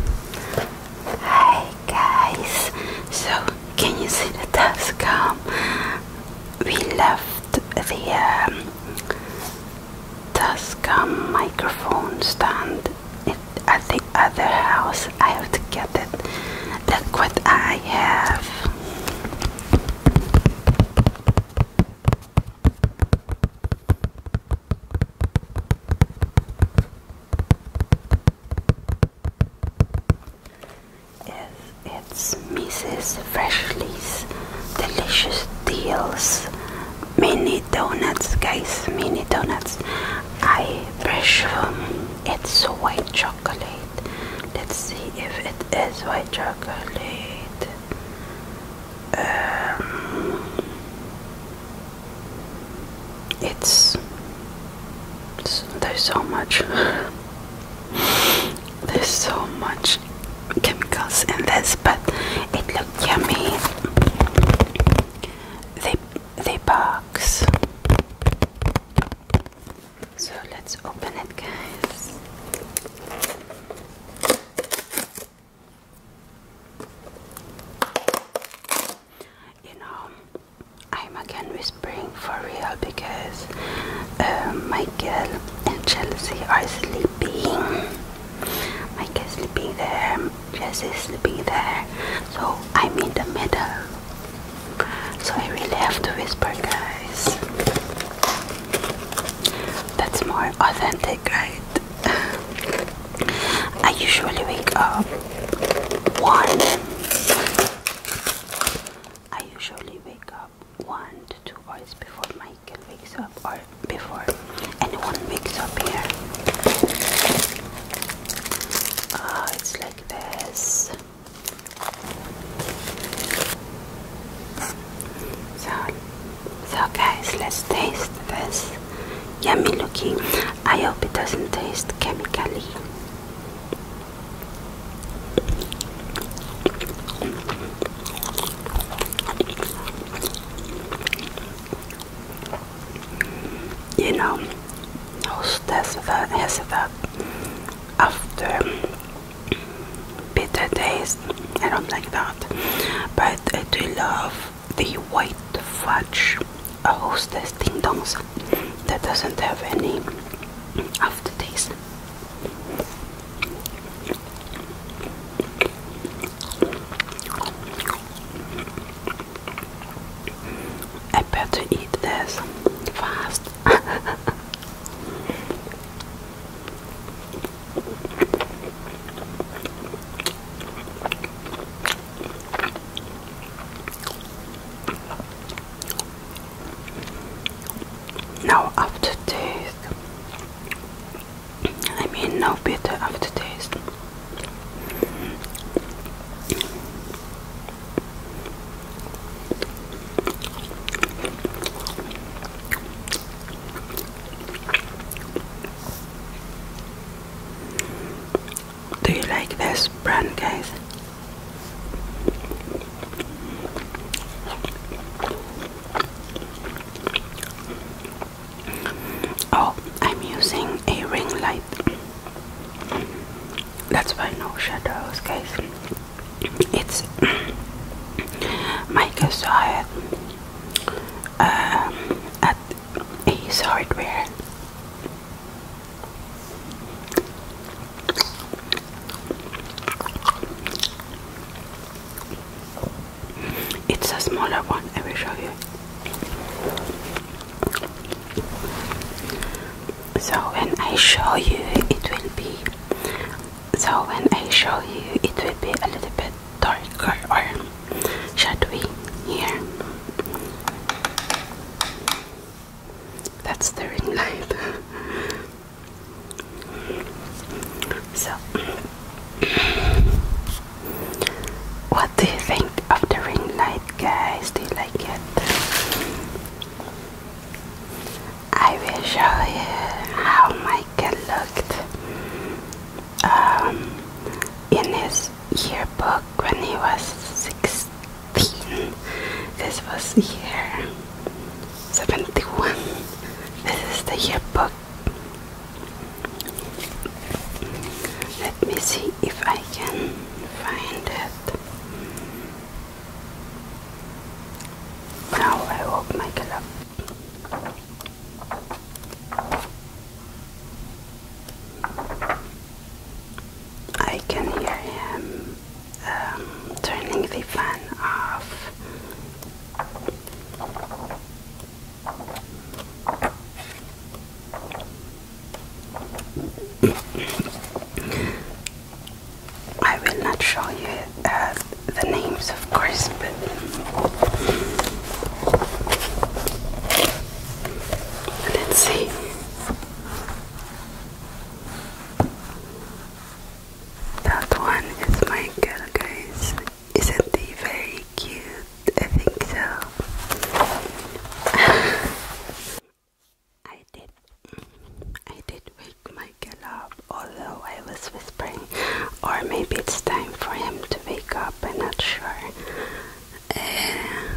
Hi guys, so can you see the Tascam? Um, we left the um, Tascam um, microphone stand at the other house. I have to get it. Look what I have. It's Mrs. Freshly's Delicious Deals Mini Donuts, guys. Mini Donuts. I presume It's white chocolate. Let's see if it is white chocolate. Um, it's, there's so much there's so much chemicals in this but it looked yummy they they box so let's open it guys you know, I'm again whispering for real because Michael um, and Chelsea are sleeping. Michael's sleeping there, Chelsea's sleeping there, so I'm in the middle. So I really have to whisper, guys. That's more authentic, right? I usually wake up one. I usually wake up one to two hours before Michael wakes up or before anyone wakes up here. Uh, it's like this. So, so guys, let's taste this yummy looking. I hope it doesn't taste chemically. You know, those that's the after bitter taste. I don't like that. But I do love the white fudge hostess ding dongs that doesn't have any aftertaste. I better eat this fast. No aftertaste. I mean, no bitter aftertaste. Do you like this brand, guys? Oh, I'm using a ring light. That's why no shadows, guys it's Microsoft um, at Ace Hardware. It's a smaller one, I will show you so when I show you it will be so when I show you it will be a little bit darker or shadowy here that's the ring light so what do you think of the ring light guys do you like it I will show you how Michael looked um, in his yearbook when he was 16. This was year 71. This is the yearbook. Let me see if I can find it. Now I will make I can hear him um, turning the fan off. I will not show you uh, the names, of course, but let's see. That one is my girl, guys. Isn't he very cute? I think so. I did. I did wake Michael up, although I was whispering, or maybe it's time for him to wake up. I'm not sure. Eh,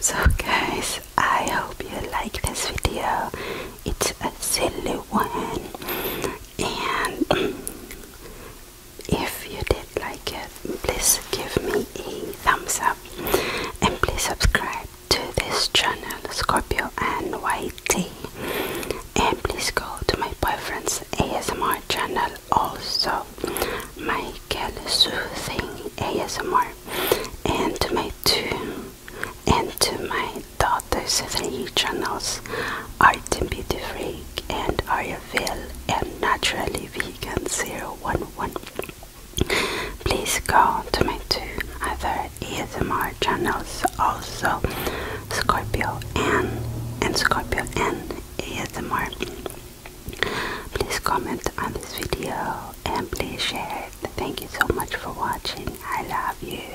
so, guys, I hope you like this video. It's a silly one, and if you did like it, please give me a thumbs up and please subscribe to this channel Scorpio N Y T. And please go to my boyfriend's ASMR channel also, Michael Soothing ASMR, and to my two and to my daughter's three channels, Art and Beauty Freak and Ariel Reveal and Naturally Vegan 011. Please go to my two other ASMR channels also Scorpio N and Scorpio N ASMR. Please comment on this video and please share it. Thank you so much for watching. I love you.